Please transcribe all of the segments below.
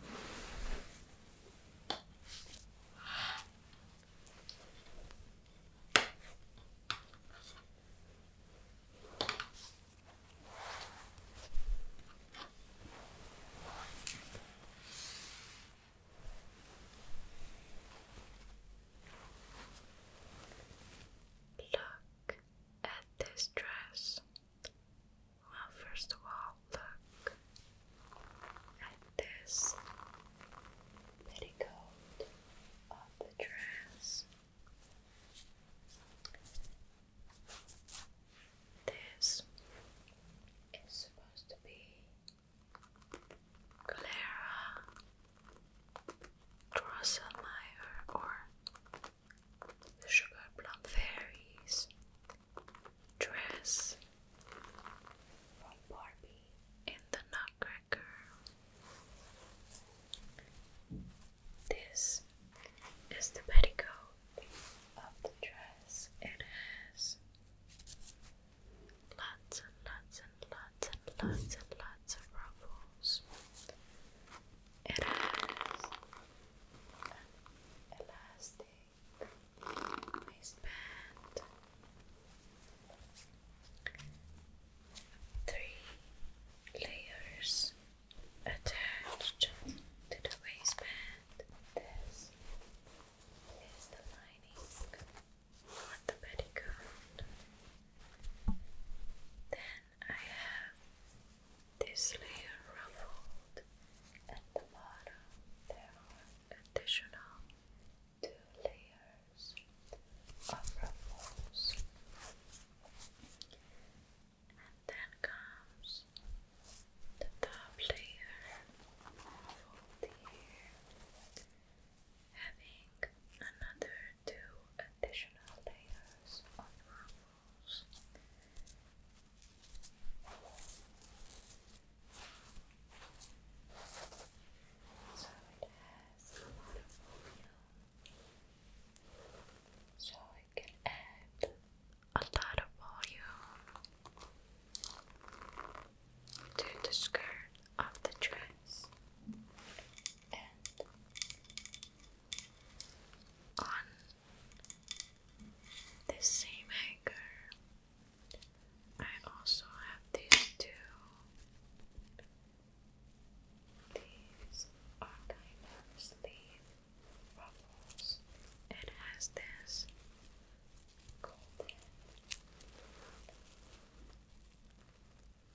Look at this dress. Well, first of all, look at this petticoat of dress. This is supposed to be Clara Drosselmeyer or the Sugar Plum Fairies, Dress from Barbie and the Nutcracker. This is the petticoat of the dress. It has lots and lots and lots and lots and lots of ruffles. It has an elastic waistband, three layers attached to the waistband. This is the lining on the petticoat. Then I have this layer ruffled at the bottom. There are additional two layers of ruffles. And then comes the top layer fold here, having another two additional layers of ruffles rules. So it has a lot of volume. So I can add a lot of volume to the skirt of the dress on this same hanger. I also have these two. These are kind of sleeve ruffles. It has this golden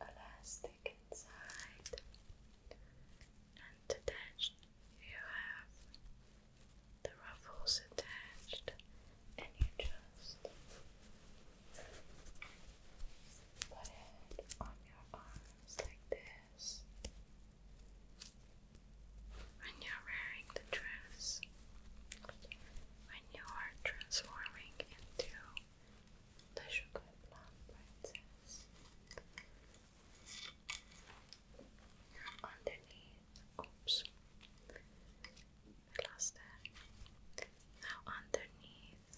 elastic inside, and attached, you have the ruffles attached, and you just put it on your arms like this when you're wearing the dress. When you are transforming into the Sugar Plum Princess. Underneath, oops, I lost that. Now underneath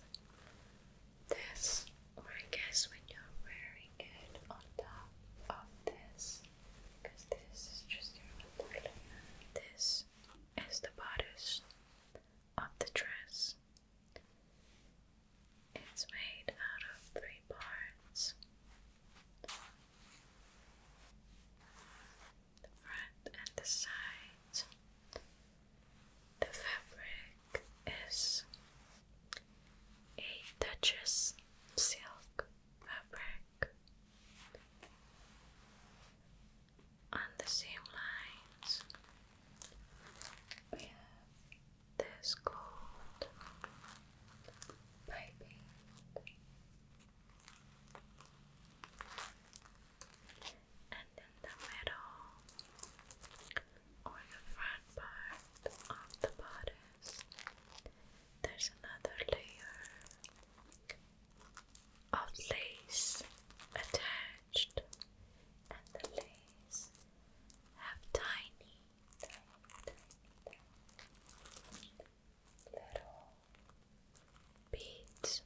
this, I guess when you're wearing it on top of this, because this is just your underlayer. This is the bodice of the dress. It's made out of three parts the front and the sides. The fabric is a Duchess silk fabric on the same lines, we have this gold piping. And in the middle or the front part of the bodice, there's another layer of lace attached and the legs have tiny, tiny, tiny, tiny little beads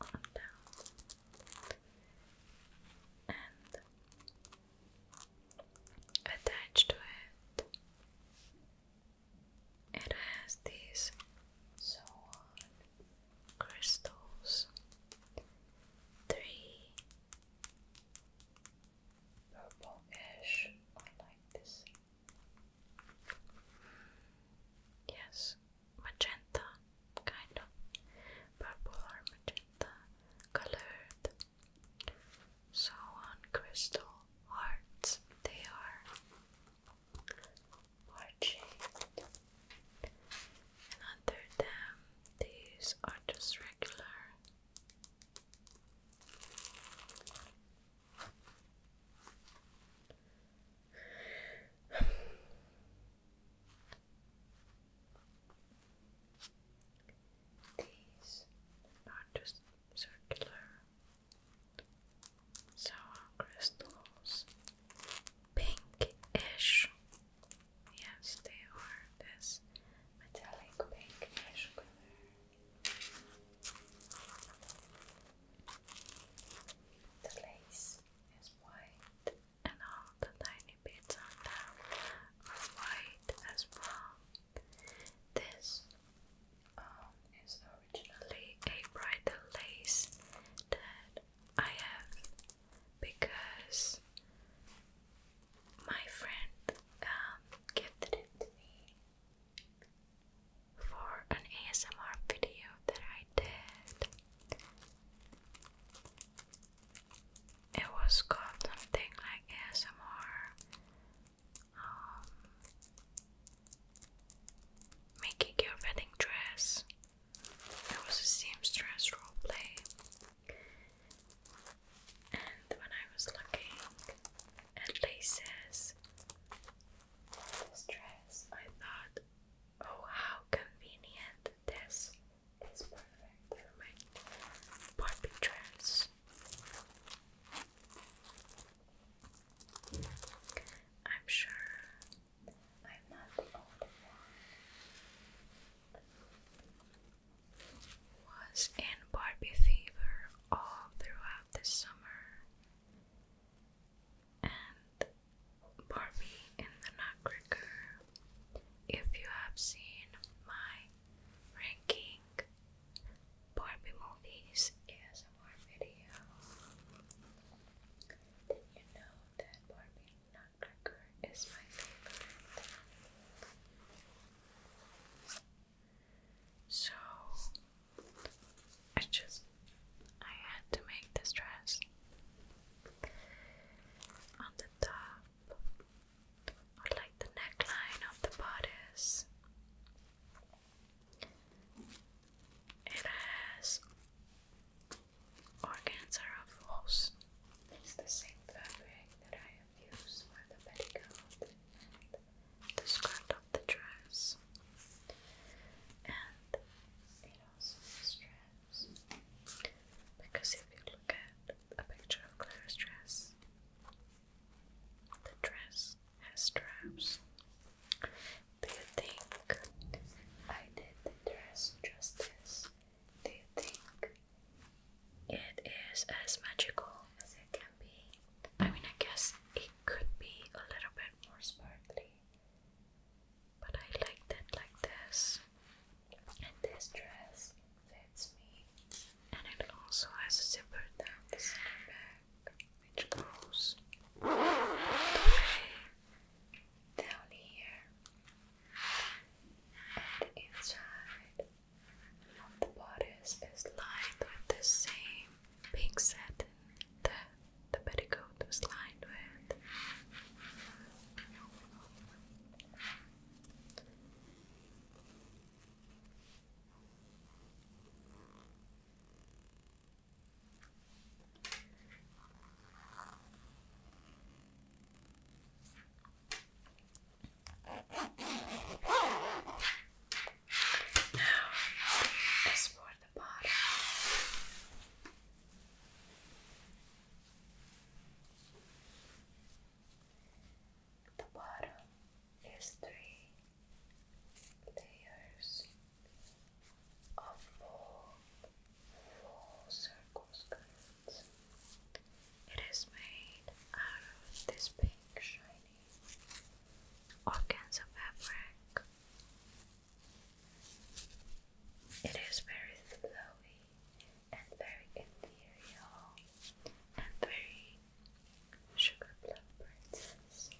on down and attached to it it has these so on crystals, three purple-ish, like this. Yes, magenta, kind of purple or magenta colored. So on crystal hearts, they are heart-shaped and under them these are just regular these are just circular Sour crystals, pinkish. Yes, they are this metallic pinkish color. The lace is white, and all the tiny bits on them are white as well. This um, originally a bridal lace that I have because my friend um, gifted it to me for an ASMR video that I did. It was called something like ASMR um, making your wedding dress. There was a seamstress roleplay, and when I was looking at laces for this dress, I thought, oh, how convenient! This is perfect for my Barbie dress. I'm sure I'm was in Barbie fever all throughout the summer. And Barbie in the Nutcracker. If you have seen my ranking Barbie movies ASMR video, did you know that Barbie Nutcracker is my favorite? So I just I had to make this dress. On the top or like the neckline of the bodice. It has organs are It's the same fabric that I have used for the petticoat and the skirt of the dress. And it also has Because if you look at a picture of Claire's dress, the dress has straps. Do you think I did the dress justice? Do you think it is as magical as it can be? I mean, I guess it could be a little bit more sparkly, but I liked it like this. And this dress that's me, and it also has a zipper down the center back, which goes all the way down here and inside of the bodice is lined with the same pink satin that the petticoat was lined with. Now is for the bottom the bottom is three layers of full, full circle It is made out of this pink shiny organza fabric. It is very flowy and very ethereal and very sugar plum princess.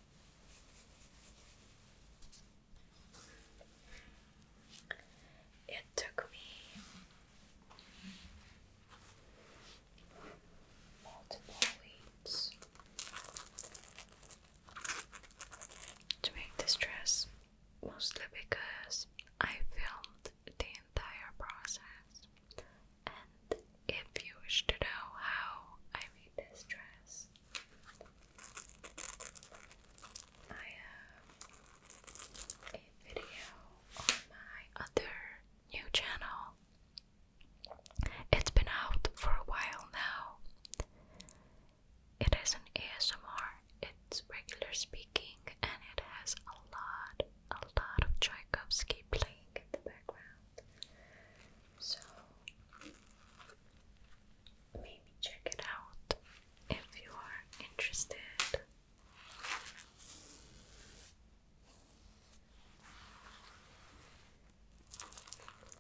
It took me multiple weeks to make this dress, mostly because I filmed the entire process, and if you wish to know how I made this dress, I have a video on my other new channel. It's been out for a while now. It isn't ASMR, it's regular speaking and it has a lot, a lot of Tchaikovsky playing in the background. So maybe check it out if you are interested.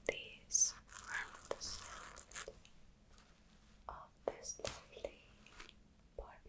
These are of this lovely part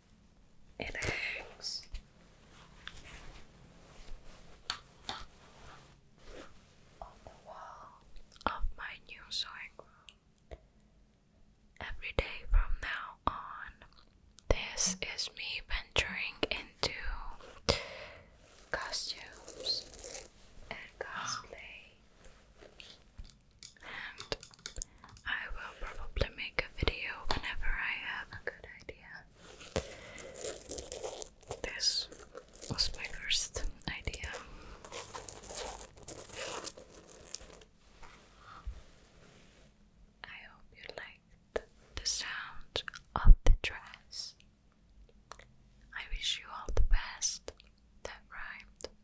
it hangs. On the wall of my new sewing room. Every day from now on, this is me venturing into costumes and cosplay and I will probably make a video whenever I have a good idea. This was my first idea. I hope you liked the sound of the dress. I wish you all the best. That rhymed.